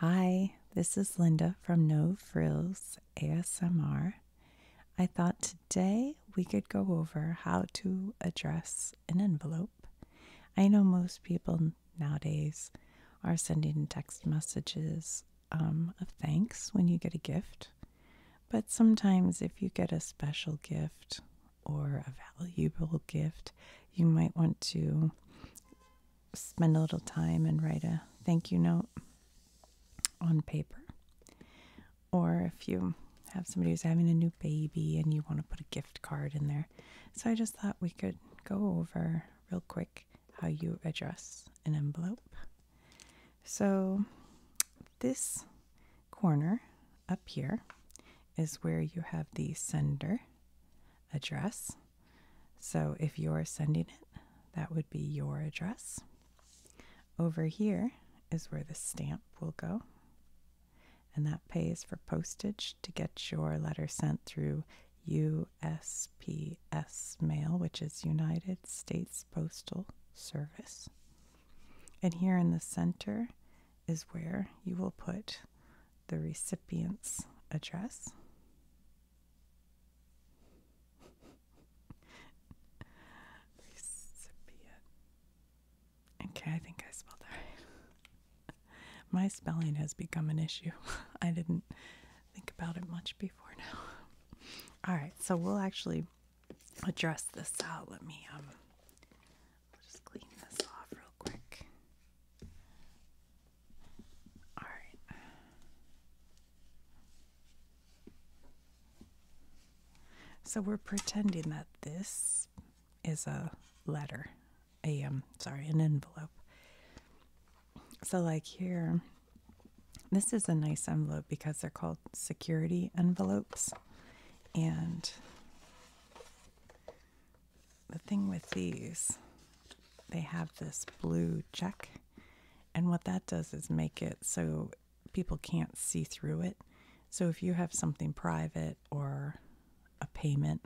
Hi, this is Linda from No Frills ASMR. I thought today we could go over how to address an envelope. I know most people nowadays are sending text messages um, of thanks when you get a gift, but sometimes if you get a special gift or a valuable gift, you might want to spend a little time and write a thank you note on paper. Or if you have somebody who's having a new baby and you want to put a gift card in there. So I just thought we could go over real quick how you address an envelope. So this corner up here is where you have the sender address so if you're sending it, that would be your address. Over here is where the stamp will go. And that pays for postage to get your letter sent through USPS mail, which is United States Postal Service. And here in the center is where you will put the recipient's address. Recipient. Okay, I think I spelled that right. My spelling has become an issue. I didn't think about it much before now. All right, so we'll actually address this out. Let me um just clean this off real quick. All right. So we're pretending that this is a letter, a um, sorry, an envelope. So like here, this is a nice envelope because they're called security envelopes, and the thing with these, they have this blue check, and what that does is make it so people can't see through it. So if you have something private or a payment,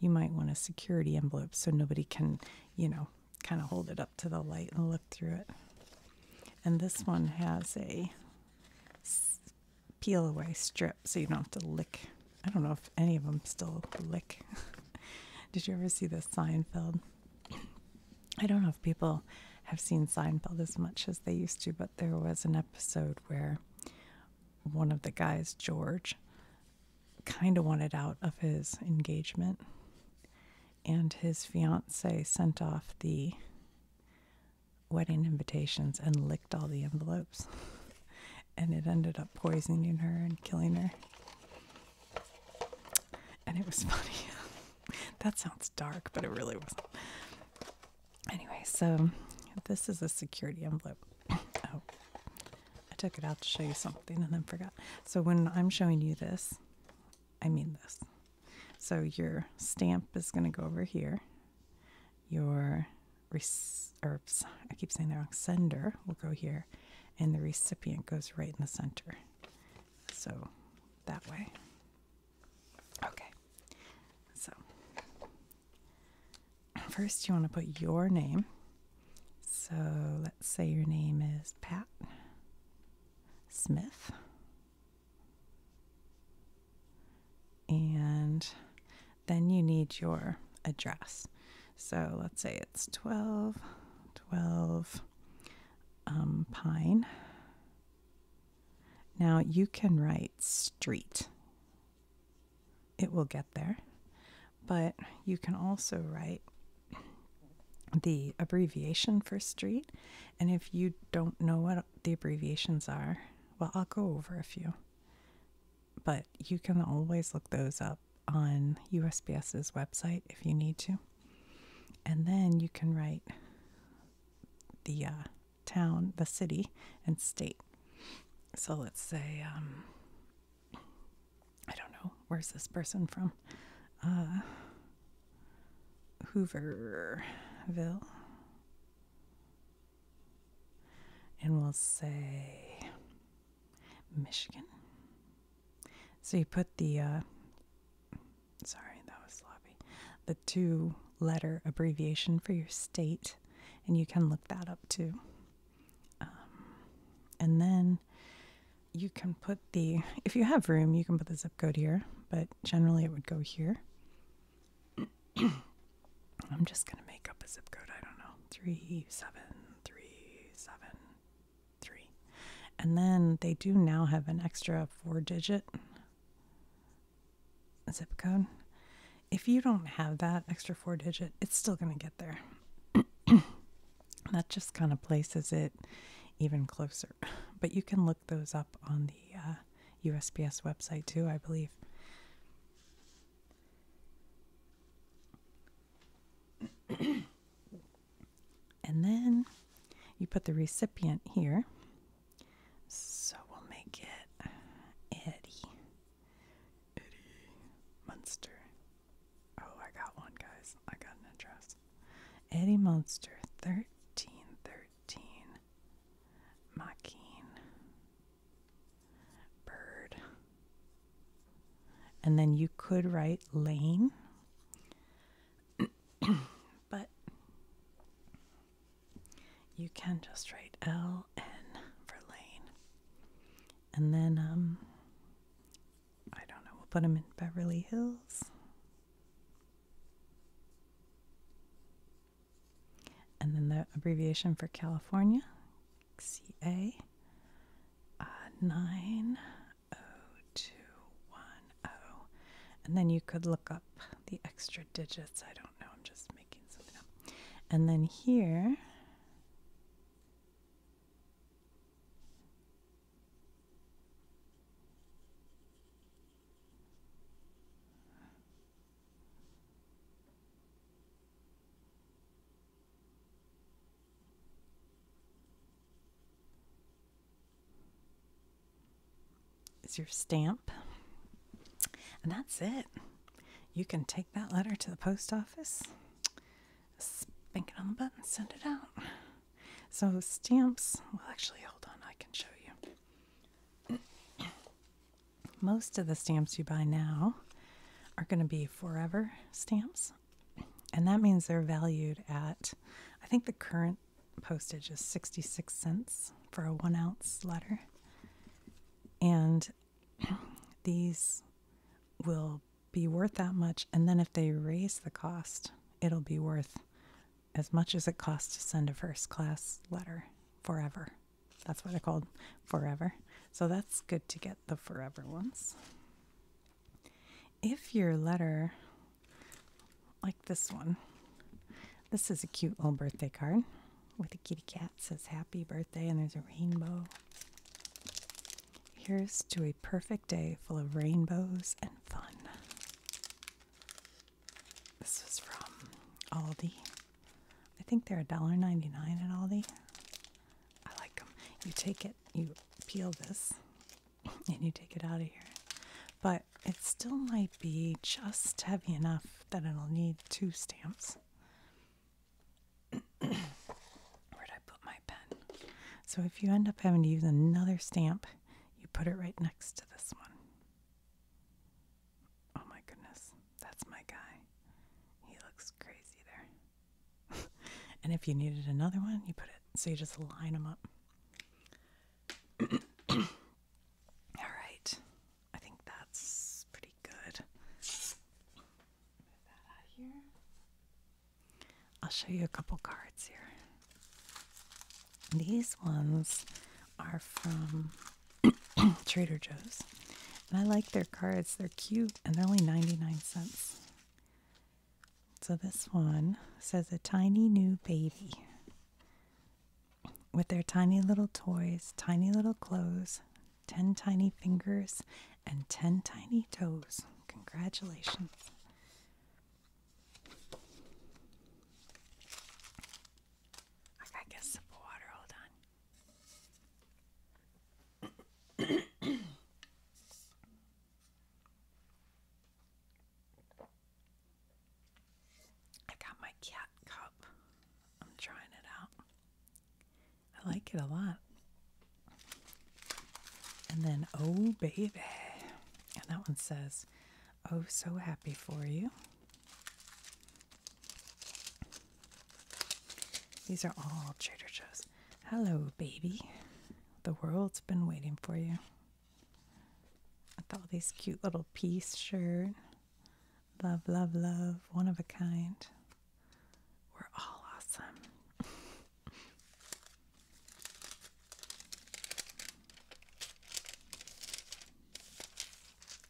you might want a security envelope so nobody can, you know, kind of hold it up to the light and look through it. And this one has a peel away strip so you don't have to lick I don't know if any of them still lick. Did you ever see the Seinfeld? I don't know if people have seen Seinfeld as much as they used to, but there was an episode where one of the guys, George, kind of wanted out of his engagement, and his fiance sent off the wedding invitations and licked all the envelopes and it ended up poisoning her and killing her. And it was funny. that sounds dark, but it really wasn't. Anyway, so this is a security envelope. oh, I took it out to show you something and then forgot. So when I'm showing you this, I mean this. So your stamp is going to go over here. Your or I keep saying the wrong sender we will go here, and the recipient goes right in the center. So that way. Okay. So first, you want to put your name. So let's say your name is Pat Smith. And then you need your address. So let's say it's 12, 12 um, Pine. Now you can write street. It will get there. But you can also write the abbreviation for street. And if you don't know what the abbreviations are, well, I'll go over a few but you can always look those up on USPS's website if you need to. And then you can write the uh, town, the city, and state. So let's say, um, I don't know, where's this person from? Uh, Hooverville and we'll say Michigan. So you put the, uh, sorry, that was sloppy, the two letter abbreviation for your state, and you can look that up too. Um, and then you can put the, if you have room, you can put the zip code here, but generally it would go here. I'm just gonna make up a zip code. I don't know, three seven three seven three, and then they do now have an extra four-digit zip code. If you don't have that extra four-digit, it's still gonna get there. that just kind of places it even closer. But you can look those up on the uh, USPS website too, I believe. and then you put the recipient here. So we'll make it Eddie. Eddie Munster. Oh, I got one, guys. I got an address. Eddie Munster, 1313 Maquine bird. And then you could write lane, but you can just write L N for lane. And then, um, I don't know, we'll put them in Beverly Hills. And then the abbreviation for California, CA uh, 90210. And then you could look up the extra digits. I don't know, I'm just making something up. And then here, is your stamp. And that's it. You can take that letter to the post office, spank it on the button, send it out. So stamps, well actually hold on, I can show you. Most of the stamps you buy now are going to be forever stamps, and that means they're valued at, I think the current postage is 66 cents for a one ounce letter. And these will be worth that much. And then if they raise the cost, it'll be worth as much as it costs to send a first class letter forever. That's why they're called forever. So that's good to get the forever ones. If your letter, like this one, this is a cute little birthday card with a kitty cat says happy birthday and there's a rainbow. Here's to a perfect day full of rainbows and fun. This is from Aldi. I think they're $1.99 at Aldi. I like them. You take it, you peel this, and you take it out of here. But it still might be just heavy enough that it'll need two stamps. Where'd I put my pen? So if you end up having to use another stamp, you put it right next to this one. Oh my goodness. That's my guy. He looks crazy there. and if you needed another one, you put it. So you just line them up. All right. I think that's pretty good. Move that out here. I'll show you a couple cards here. These ones are from Trader Joe's. And I like their cards. They're cute and they're only 99 cents. So this one says a tiny new baby with their tiny little toys, tiny little clothes, 10 tiny fingers, and 10 tiny toes. Congratulations. I gotta sip water, hold on. I got my cat cup. I'm trying it out. I like it a lot. And then, oh baby. And that one says, Oh, so happy for you. These are all Trader Joe's. Hello, baby. The world's been waiting for you. With all these cute little peace shirt. Love, love, love. One of a kind. We're all awesome.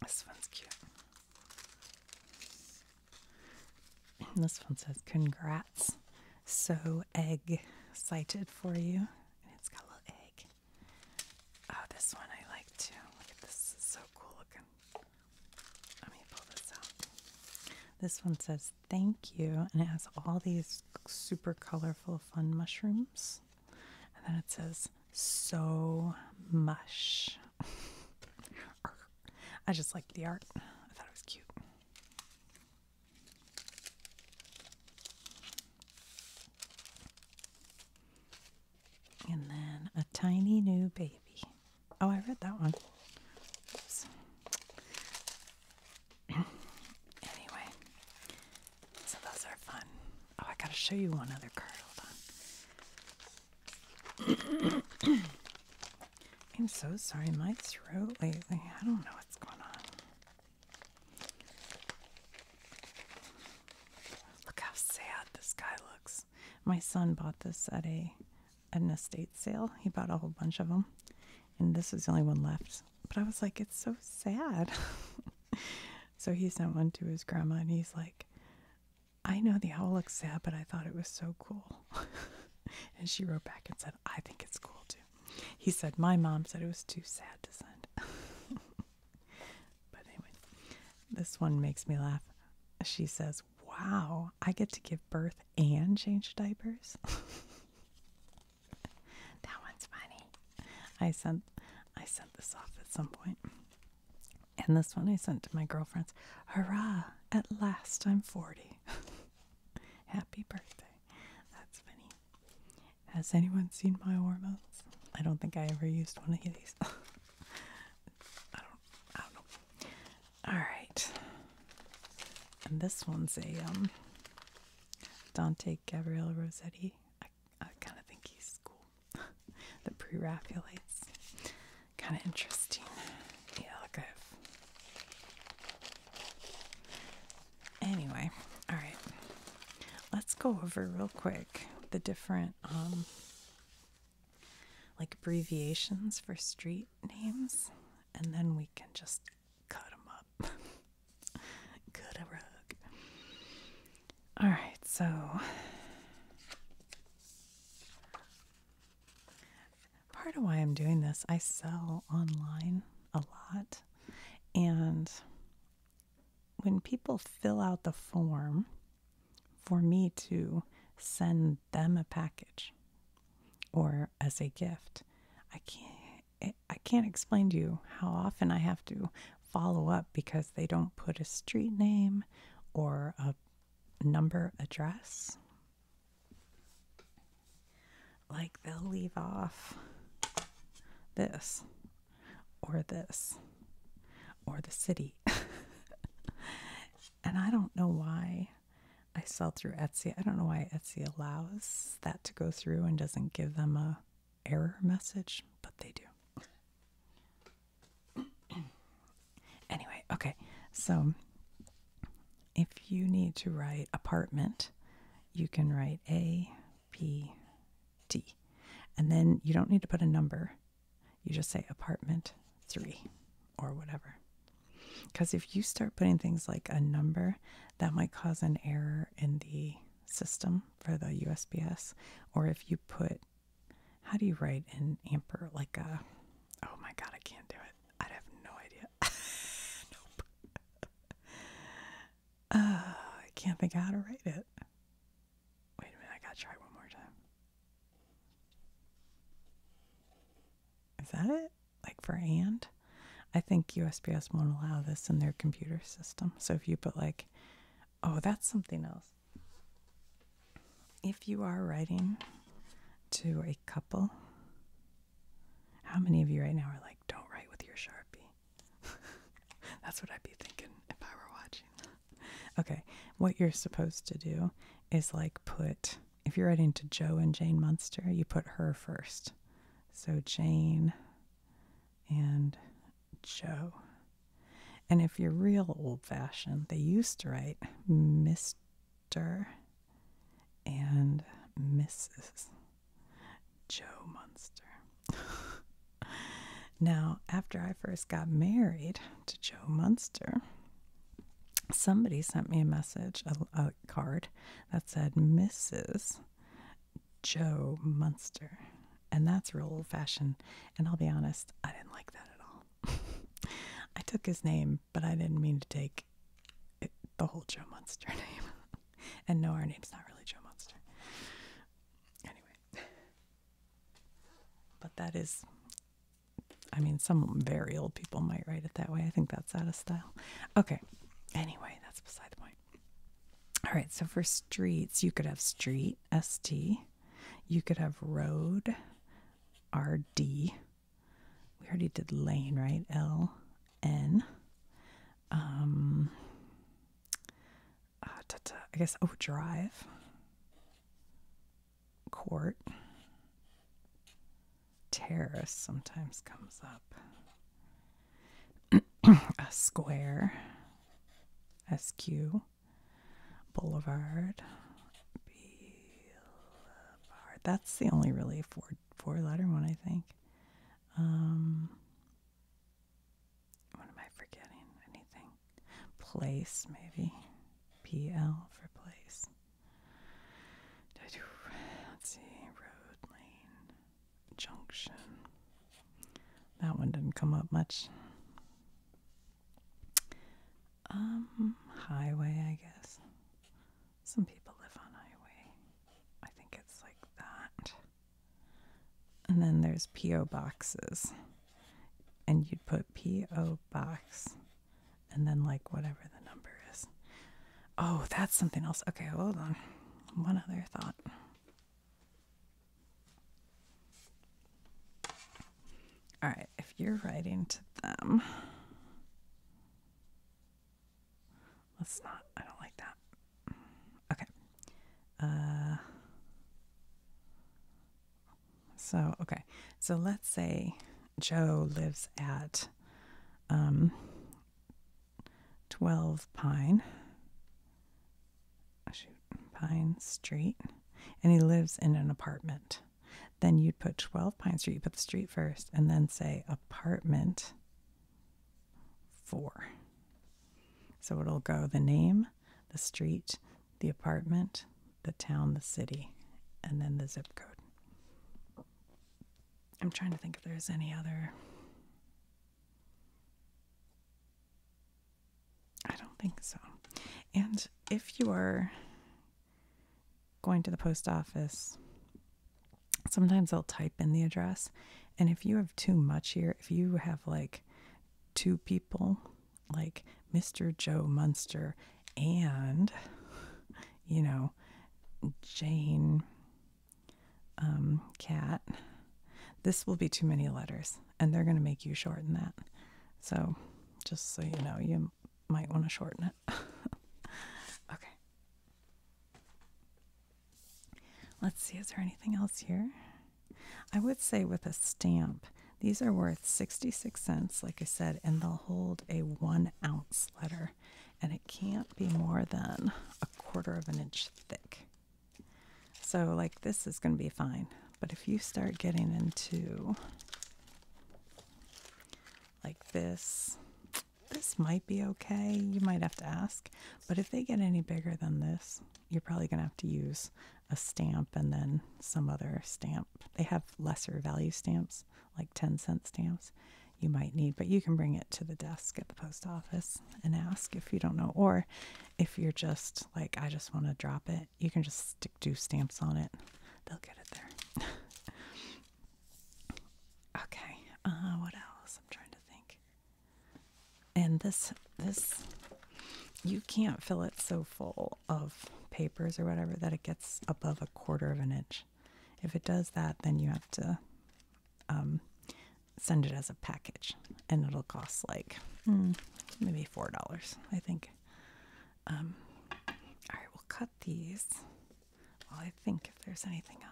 This one's cute this one says, Congrats. So egg cited for you. And it's got a little egg. Oh, this one I like too. this. It's so cool looking. Let me pull this out. This one says, Thank you. And it has all these super colorful, fun mushrooms. And then it says, So mush. I just like the art. I thought it was cute. And then a tiny new baby. Oh, I read that one. anyway, so those are fun. Oh, I gotta show you one other card. Hold on. I'm so sorry, my throat lately. I don't know what's going on. Look how sad this guy looks. My son bought this at a at an estate sale. He bought a whole bunch of them, and this was the only one left. But I was like, it's so sad. so he sent one to his grandma, and he's like, I know the owl looks sad, but I thought it was so cool. and she wrote back and said, I think it's cool too. He said, My mom said it was too sad to send. but anyway, this one makes me laugh. She says, Wow, I get to give birth and change diapers. that one's funny. I sent I sent this off at some point. And this one I sent to my girlfriends. Hurrah! At last I'm 40. Happy birthday. That's funny. Has anyone seen my hormones? I don't think I ever used one of these. I don't I don't know. Alright. And this one's a um, Dante Gabriel Rossetti. I kind of think he's cool. the Pre Raphaelites. Kind of interesting. Yeah, look at Anyway, all right. Let's go over real quick the different um like abbreviations for street names and then we can just cut them up. cut rug. All right, so part of why I'm doing this, I sell online a lot. And when people fill out the form for me to send them a package or as a gift, I can't I can't explain to you how often I have to follow up because they don't put a street name or a number address. Like they'll leave off this or this or the city. and I don't know why I sell through Etsy. I don't know why Etsy allows that to go through and doesn't give them a error message, but they do. anyway, okay. So if you need to write apartment, you can write A, P, T. And then you don't need to put a number. You just say apartment three or whatever. Because if you start putting things like a number, that might cause an error in the system for the USPS. Or if you put how do you write an ampere? like a oh my god i can't do it i have no idea nope uh, i can't think how to write it wait a minute i gotta try one more time is that it like for and i think USBs won't allow this in their computer system so if you put like Oh, that's something else. If you are writing to a couple, how many of you right now are like, don't write with your Sharpie? that's what I'd be thinking if I were watching. okay, what you're supposed to do is like put, if you're writing to Joe and Jane Munster, you put her first. So Jane and Joe. And if you're real old fashioned, they used to write Mr. and Mrs. Joe Munster. now, after I first got married to Joe Munster, somebody sent me a message, a, card that said Mrs. Joe Munster. And that's real old fashioned. And I'll be honest, I didn't like that at all. I took his name, but I didn't mean to take the whole Joe Monster name. and no, our name's not really Joe Monster. Anyway. But that is, I mean, some very old people might write it that way. I think that's out of style. Okay. Anyway, that's beside the point. All right. So for streets, you could have street, S T. You could have road, RD. We already did lane, right? LN. Um, ah, I guess, oh, drive, court, terrace sometimes comes up, a square, SQ, Boulevard. Boulevard. That's the only really four four letter one I think. Um, what am I forgetting? Anything? Place maybe. P L for place. Did I Let's see. Road, lane, junction. That one didn't come up much. Um, highway, I guess. Some people live on highway. I think it's like that. And then there's P.O. boxes. And you'd put P.O. box and then like whatever the number is. Oh, that's something else. Okay, hold on. One other thought. All right, if you're writing to them, let's not, I don't like that. Okay. Uh, so, okay. So let's say Joe lives at um, 12 Pine Ah, Pine Street, and he lives in an apartment, then you'd put 12 Pine Street, you put the street first, and then say apartment four. So it'll go the name, the street, the apartment, the town, the city, and then the zip code. I'm trying to think if there's any other I don't think so. And if you are going to the post office, sometimes i will type in the address. And if you have too much here, if you have like two people, like Mr. Joe Munster and, you know, Jane Cat, um, this will be too many letters and they're going to make you shorten that. So, just so you know, you might want to shorten it. okay. Let's see, is there anything else here? I would say with a stamp, these are worth 66 cents, like I said, and they'll hold a one ounce letter, and it can't be more than a quarter of an inch thick. So, like, this is going to be fine. But if you start getting into like this, this might be okay. You might have to ask. But if they get any bigger than this, you're probably going to have to use a stamp and then some other stamp. They have lesser value stamps, like 10 cent stamps you might need, but you can bring it to the desk at the post office and ask if you don't know. Or if you're just like, I just want to drop it you can just stick two stamps on it. They'll get it there. okay. Uh, what else? I'm trying to think. And this, this, you can't fill it so full of papers or whatever that it gets above a quarter of an inch. If it does that, then you have to um, send it as a package and it'll cost like hmm. maybe four dollars, I think. Um, all right, we'll cut these. Well, I think if there's anything else.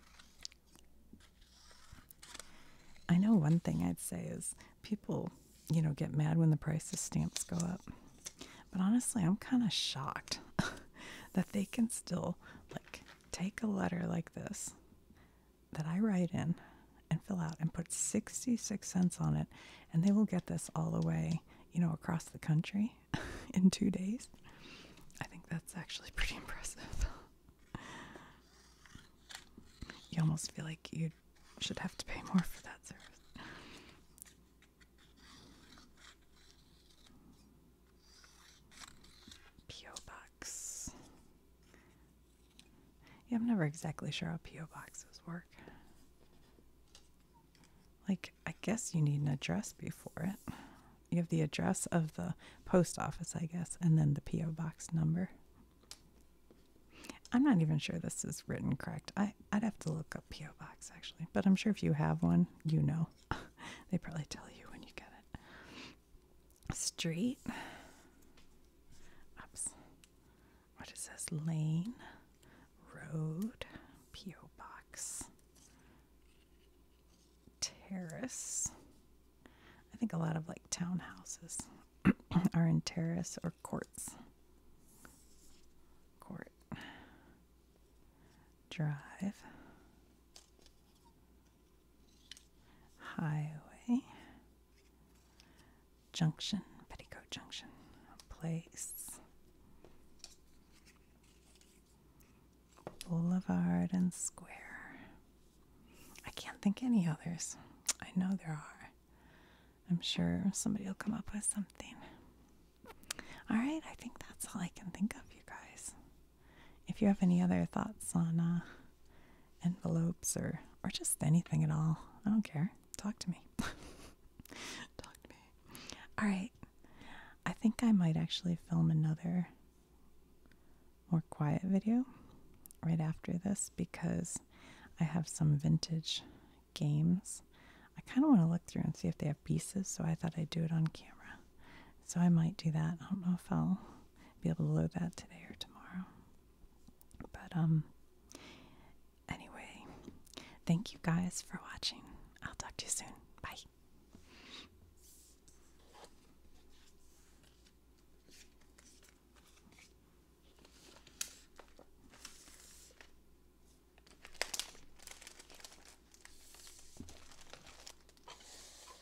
I know one thing I'd say is people, you know, get mad when the price of stamps go up. But honestly, I'm kind of shocked that they can still like take a letter like this that I write in and fill out and put 66 cents on it, and they will get this all the way, you know, across the country in two days. I think that's actually pretty impressive. you almost feel like you should have to pay more for that service. P.O. Box yeah, I'm never exactly sure how P.O. boxes work. Like, I guess you need an address before it. You have the address of the post office, I guess, and then the P.O. box number. I'm not even sure this is written correct. I, I'd have to look up P.O. box actually, but I'm sure if you have one, you know. they probably tell you when you get it street. Oops. What is this? Lane, road, P.O. box, terrace. I think a lot of like townhouses are in terrace or courts. Court, drive, Highway Junction, Petticoat Junction, Place, Boulevard, and Square. I can't think any others. I know there are. I'm sure somebody will come up with something. All right, I think that's all I can think of, you guys. If you have any other thoughts on uh, envelopes or, or just anything at all, I don't care. Talk to me. Talk to me. All right. I think I might actually film another more quiet video right after this because I have some vintage games. I kind of want to look through and see if they have pieces, so I thought I'd do it on camera. So I might do that. I don't know if I'll be able to load that today or tomorrow. But, um, anyway, thank you guys for watching. I'll talk to you soon. Bye.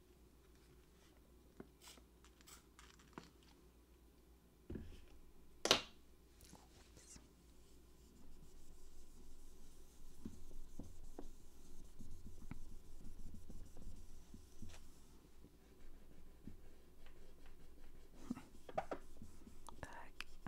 Oops. Back.